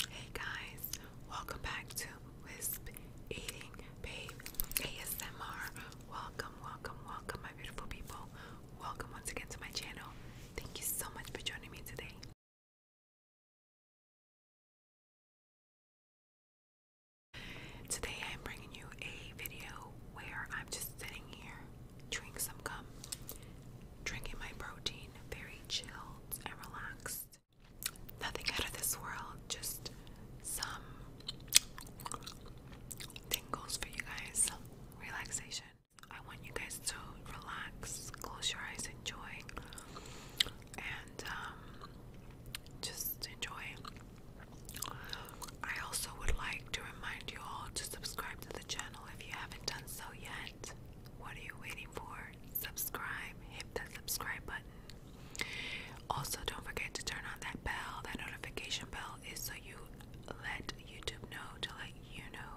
Hey guys, welcome back to Wisp Eating Babe ASMR. Welcome, welcome, welcome, my beautiful people. Welcome once again to my channel. Thank you so much for joining me today. Today I'm bringing you a video where I'm just sitting here chewing some gum, drinking my protein, very chilled and relaxed nothing out of this world, just some tingles for you guys, some relaxation. I want you guys to relax, close your eyes, enjoy, and um, just enjoy. I also would like to remind you all to subscribe to the channel if you haven't done so yet. What are you waiting before, subscribe, hit that subscribe button. Also, don't forget to turn on that bell, that notification bell is so you let YouTube know to let you know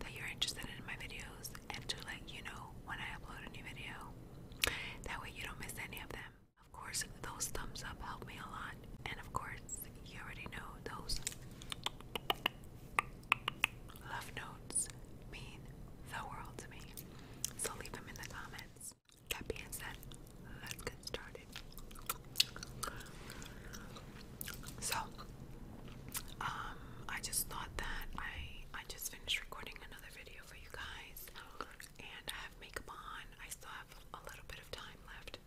that you're interested in my videos and to let you know when I upload a new video. That way you don't miss any of them. Of course, those thumbs up help me a lot. And of course, you already know those Love notes mean the world to me. So leave them in the comments. That being said, let's get started. So, um, I just thought that I I just finished recording another video for you guys, and I have makeup on. I still have a little bit of time left.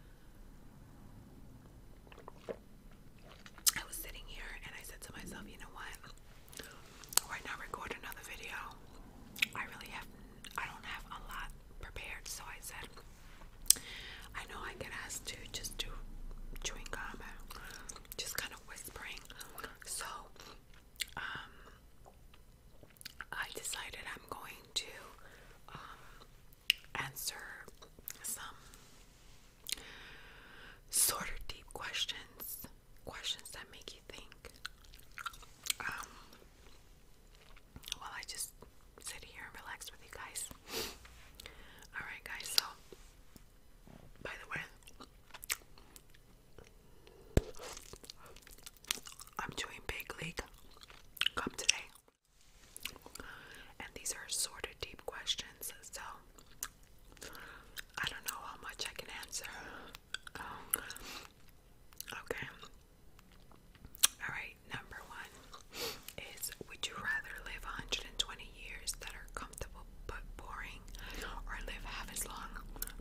I was sitting here and I said to myself, you know what? Why not record another video? I really have, I don't have a lot prepared, so I said, I know I get asked to just do chewing gum, just kind of whispering. So, um, I decided I'm going to um, answer some sort of deep questions, questions that make you think. Um, I just sit here and relax with you guys. All right, guys. So, by the way, I'm doing big league come today. And these are sort of deep questions, so I don't know how much I can answer. Um, okay. Alright, number one is Would you rather live 120 years that are comfortable but boring, or live half as long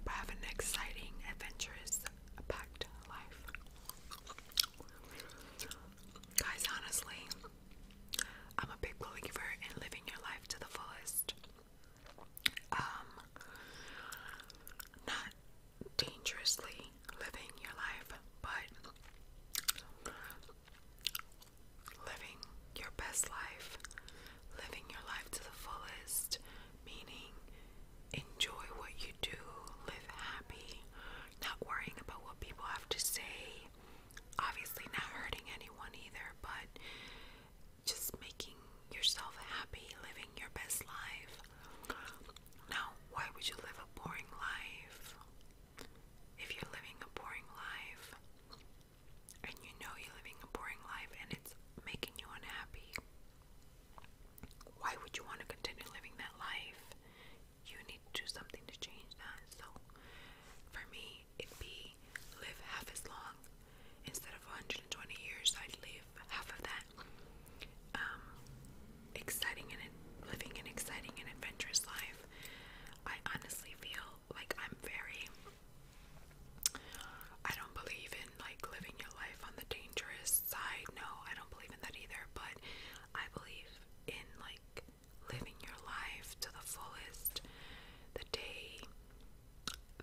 but have an exciting, adventurous, packed life? Guys, honestly, I'm a big believer in living your life to the fullest. Um, not dangerously living your life, but living your best life, living your life to the fullest, meaning enjoy what you do, live happy, not worrying about what people have to say, obviously not hurting anyone either, but just making yourself happy, living your best life. Now, why would you live a boring life? If you're living a boring life and you know you're living a boring life and it's making you unhappy, why would you want to continue living that life? you need to do something to change that. So for me, it'd be live half as long instead of 120 years. I'd live half of that. Um, exciting and living an exciting and adventurous life. I honestly feel like I'm very. I don't believe in like living your life on the dangerous side. No, I don't believe in that either. But I believe in like living your life to the fullest. The day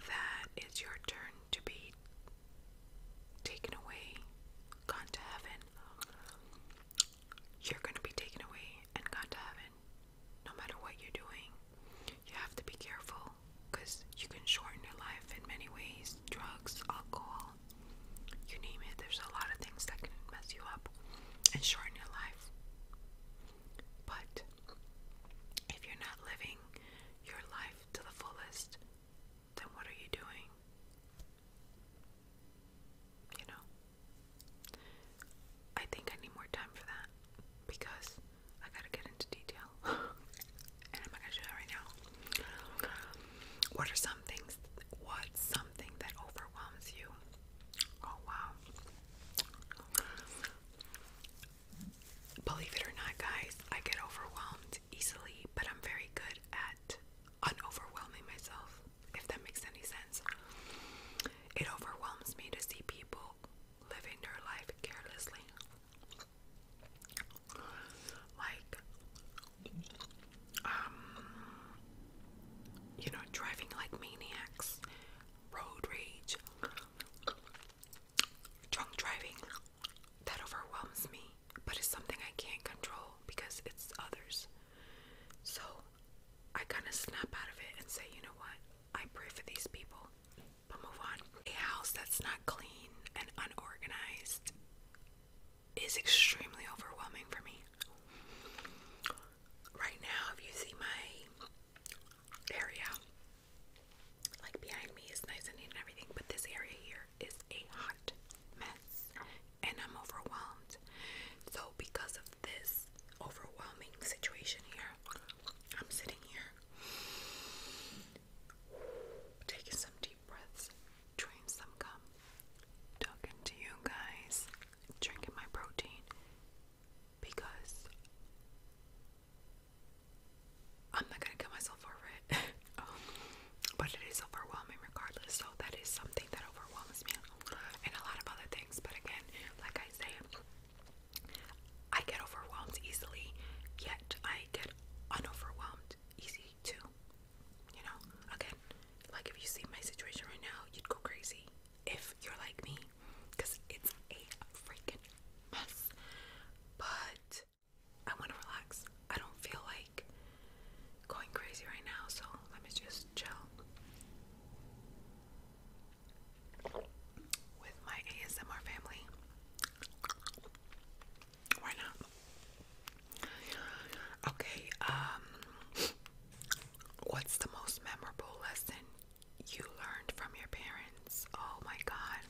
that it's your turn to be taken away, gone to heaven, you're going to be taken away and gone to heaven. No matter what you're doing, you have to be careful because you can shorten your life in many ways drugs, alcohol, you name it. There's a lot of things that can mess you up and shorten your life. But if you're not living your life to the fullest, then what are you doing? You know? I think I need more time for that because I gotta get into detail. and I'm not gonna do that right now. What are some things what some something that overwhelms you. Oh wow. Believe it or not, guys, I get overwhelmed easily, but I'm very good at unoverwhelming myself, if that makes any sense. It overwhelms me to see people living their life carelessly. Like, um, you know, driving like maniacs, road rage, drunk driving. That overwhelms me, but it's something I can't control because it's others. So I kind of snap out of it and say, you know what? I pray for these people, but move on. A house that's not clean and unorganized is extremely overwhelming for me. Right now, if you see my area, like behind me is nice and neat and everything, but this area here is a hot mess and I'm overwhelmed. So, because of this overwhelming situation here, I'm sitting here taking some deep deep breaths, drain some Talking to you guys, drinking my protein because I'm not gonna kill myself over it. Um, but it is overwhelming regardless, so that is something that overwhelms me and a lot of other things. But again, like I say, I get overwhelmed easily, yet I get unoverwhelmed easy too. You know, again, like if you see my situation right now, you'd go crazy if you're like me because it's a freaking mess. But I want to relax. I don't feel like going crazy right now, so let me just chill with my ASMR family. Why not? Okay, um, what's the most memorable lesson you learned from your parents? Oh my god.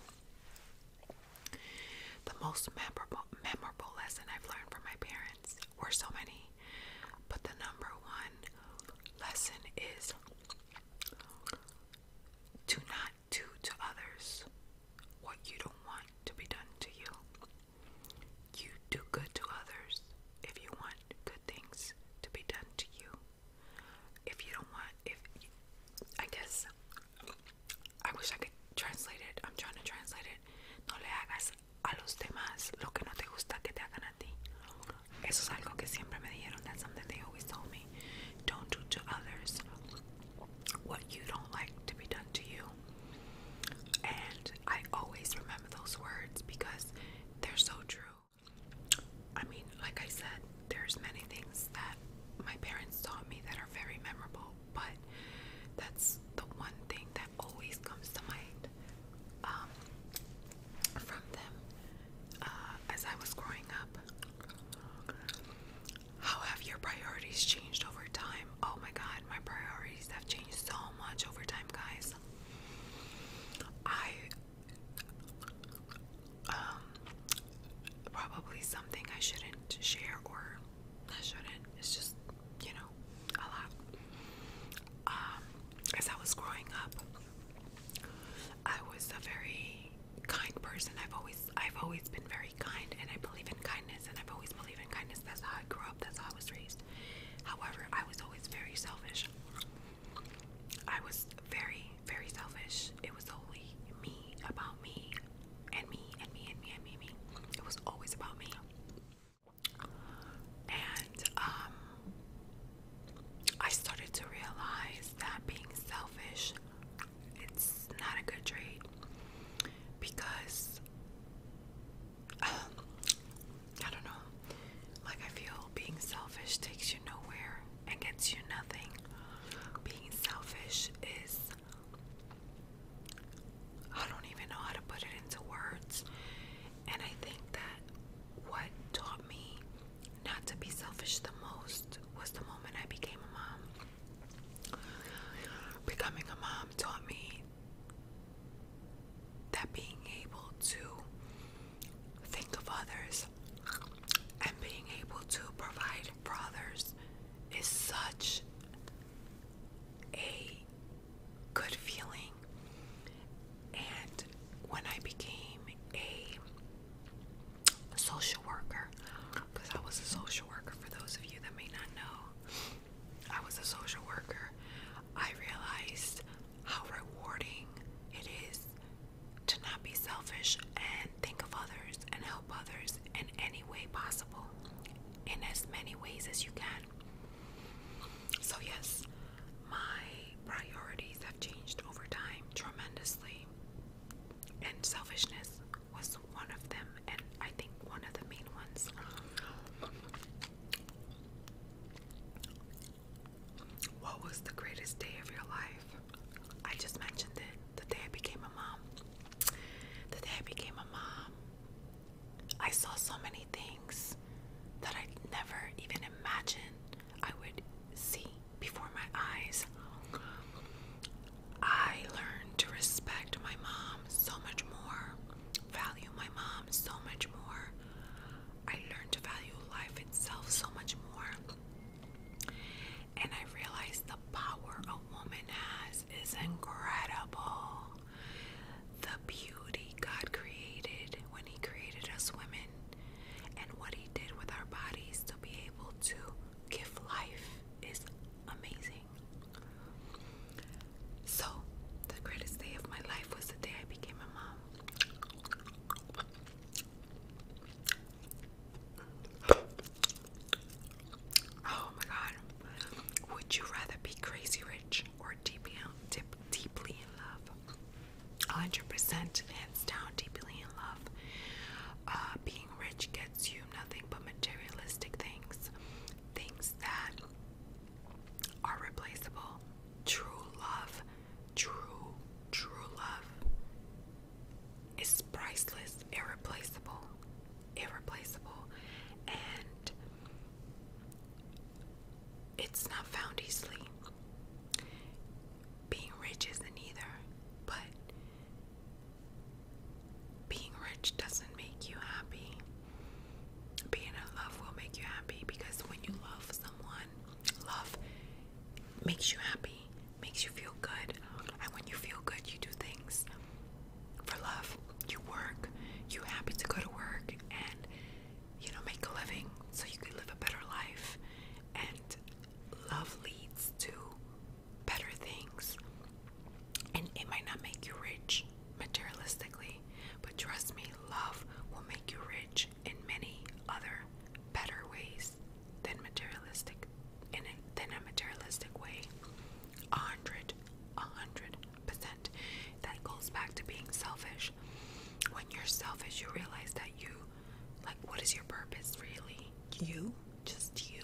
The most memorable memorable lesson I've learned from my parents were so many. But the number one lesson is to not do to others what you don't want to be done to you. You do good to others if you want good things to be done to you. If you don't want, if I guess, I wish I could translate it. I'm trying to translate it. No le hagas a los demás lo que no te gusta que te hagan a ti. Eso es algo que siempre always told me. Don't do to others what you don't like to be done to you. And I always remember those words because they're so true. I mean, like I said, there's many things that my parents taught me that are very memorable, but that's the one thing that always comes to mind um, from them uh, as I was growing up. How have your priorities changed over time? Oh my god, my priorities have changed so much over time, guys. I um probably something I shouldn't share or I shouldn't. It's just, you know, a lot. Um as I was growing up, I was a very kind person. I've always I've always been very kind and I believe in kindness and I've always believed in kindness. That's how I grew up, that's how I was raised. However, I was always very selfish. I was very, very selfish. It was only me about me and me and me and me and me and me. It was always about me. And um I started to realize that being selfish it's not a good trade because um, I don't know. Like, I feel being selfish takes you nowhere and gets you nothing. Being selfish is. I don't even know how to put it into words. And I think that what taught me not to be selfish the most was the moment I became a mom. Becoming a mom taught me that being able to think of others and being able to provide for others is such a good feeling. And when I became a social worker because I was a social worker for those of you that may not know. I was a social worker. I realized how rewarding it is to not be selfish and think of others and help others in any way possible, in as many ways as you can. So, yes, my priorities have changed over time tremendously and selfishness was one of them, and I think one of the main ones. What was the greatest day of your life? I just mentioned it. The day I became a mom. The day I became a mom. I saw so many things that I never even imagined I would see before my eyes. I learned to respect my mom so much more, value my mom so much more. I learned to value life itself so much more. And I realized the power a woman has is incredible. The beauty God created when He created us women and what He did with our bodies to be able to gift life is amazing. So, the greatest day of my life was the day I became a mom. Oh my god. Would you rather be crazy rich or deeply, deep, deeply in love? 100% hands down deeply in love. Uh, being rich gets you nothing but materialistic things, things that are replaceable. True love, true, true love is priceless, irreplaceable, irreplaceable, and it's not found easily being rich isn't either, but being rich doesn't make you happy. Being in love will make you happy because when you love someone, love makes you happy, makes you feel good. And when you feel good, you do things for love. You work, you happy to go to work and you know make a living so you can live a better life and love leads to better things. And it might not make you rich materialistically, but trust me, love will make you rich in many other better ways than materialistic in a, than a materialistic way. A hundred, a hundred percent. That goes back to being selfish. When you're selfish, you realize that you like, what is your purpose really? You? Just you?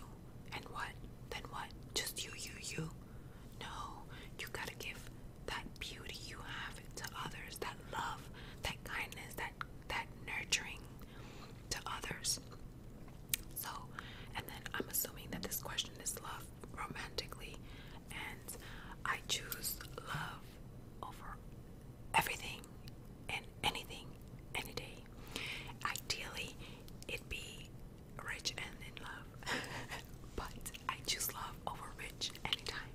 And what? Then what? Just you, you, you? No, you gotta give that beauty you have to others, that love, that kindness, that that nurturing to others. So, and then I'm assuming that this question is love romantically, and I choose love over everything and anything any day. Ideally, it'd be rich and in love, but I choose love over rich anytime.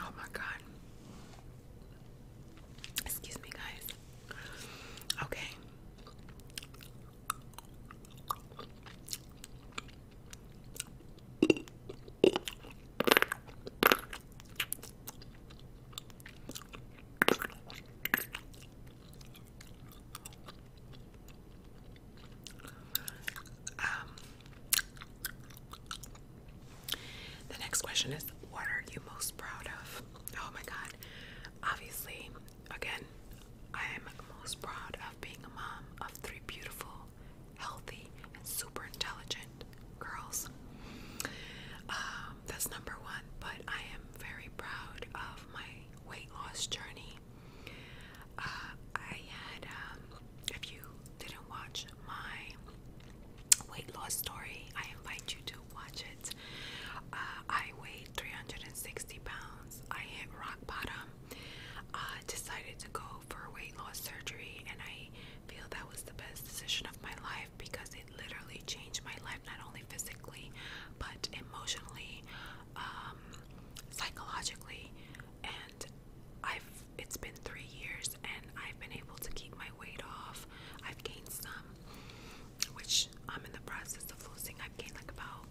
Oh my god. Excuse me, guys. Okay the next question is, what are you most proud of? Oh my God. Obviously, Again, I am most proud of being a mom of three beautiful, healthy, and super intelligent girls. Um, that's number one, but I am very proud of my weight loss journey. Uh, I had, um, if you didn't watch my weight loss story, I invite you to watch it. Uh, I weighed 360 pounds. I hit rock bottom. I uh, decided to go for weight loss surgery, and I feel that was the best decision of my life because it literally changed my life not only physically but emotionally, um, psychologically, and I've it's been three years and I've been able to keep my weight off. I've gained some, which I'm in the process of losing. I've gained like about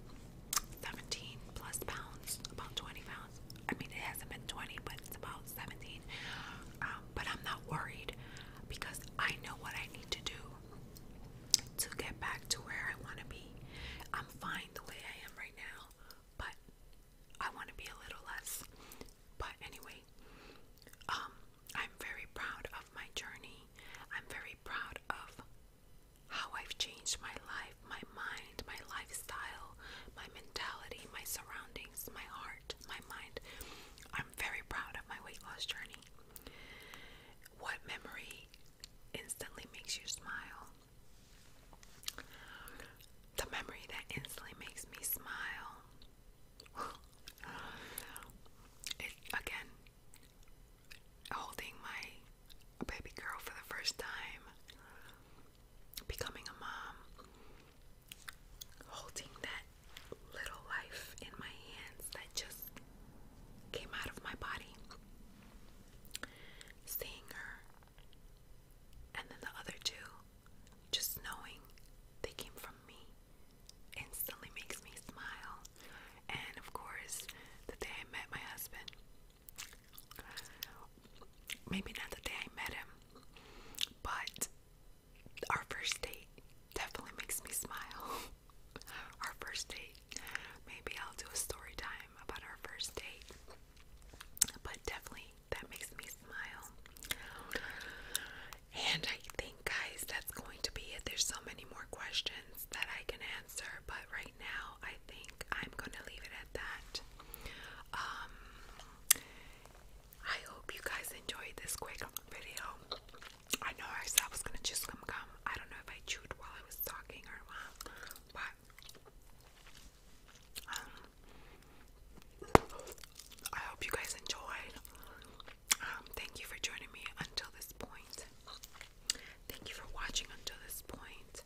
17 plus pounds, about 20 pounds. I mean, it hasn't been 20, but it's about 17. Um, but I'm not worried because I know what I need to do to get back to where I want to be. I'm fine the way I am right now, but I want to be a little less. But anyway, um, I'm very proud of my journey. I'm very proud of how I've changed my life, my mind, my lifestyle, my mentality, my surroundings, my heart, my mind. I'm very proud of my weight loss journey. What memory instantly makes you smile? The memory that instantly makes me smile. it again holding my a baby girl for the first time, becoming a mom, holding that little life in my hands that just came out of my body, seeing her, and then the other two, just knowing they came from me, instantly makes me smile and of course the day I met my husband. Maybe not the day I met him, but our first date definitely makes me smile. our first date. Maybe I'll do a story time about our first date, but definitely that makes me smile. And I think, guys, that's going to be it. There's so many more questions that I can answer answer, but right now I think I'm gonna leave it at that. Um, I hope you guys enjoyed this quick video. I know I said I was gonna just some gum. I don't know if I chewed while I was talking or not, but um, I hope you guys enjoyed um, thank you for joining me until this point. Thank you for watching until this point.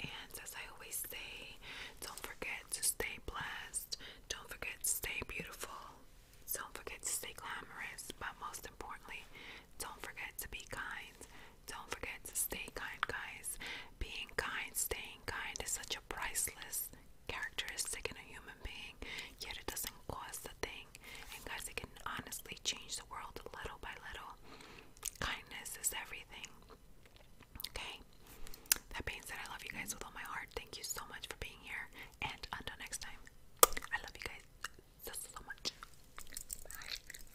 And as I always say, don't forget to stay blessed. Don't forget to stay beautiful. Don't forget to stay glamorous. But most importantly, don't forget to be kind. Don't forget to stay kind, guys. Being kind, staying kind is such a priceless characteristic in a human being, yet it doesn't was the thing. And guys, it can honestly change the world little by little. Kindness is everything. Okay? That being said, I love you guys with all my heart. Thank you so much for being here. And until next time, I love you guys so, so much. Bye.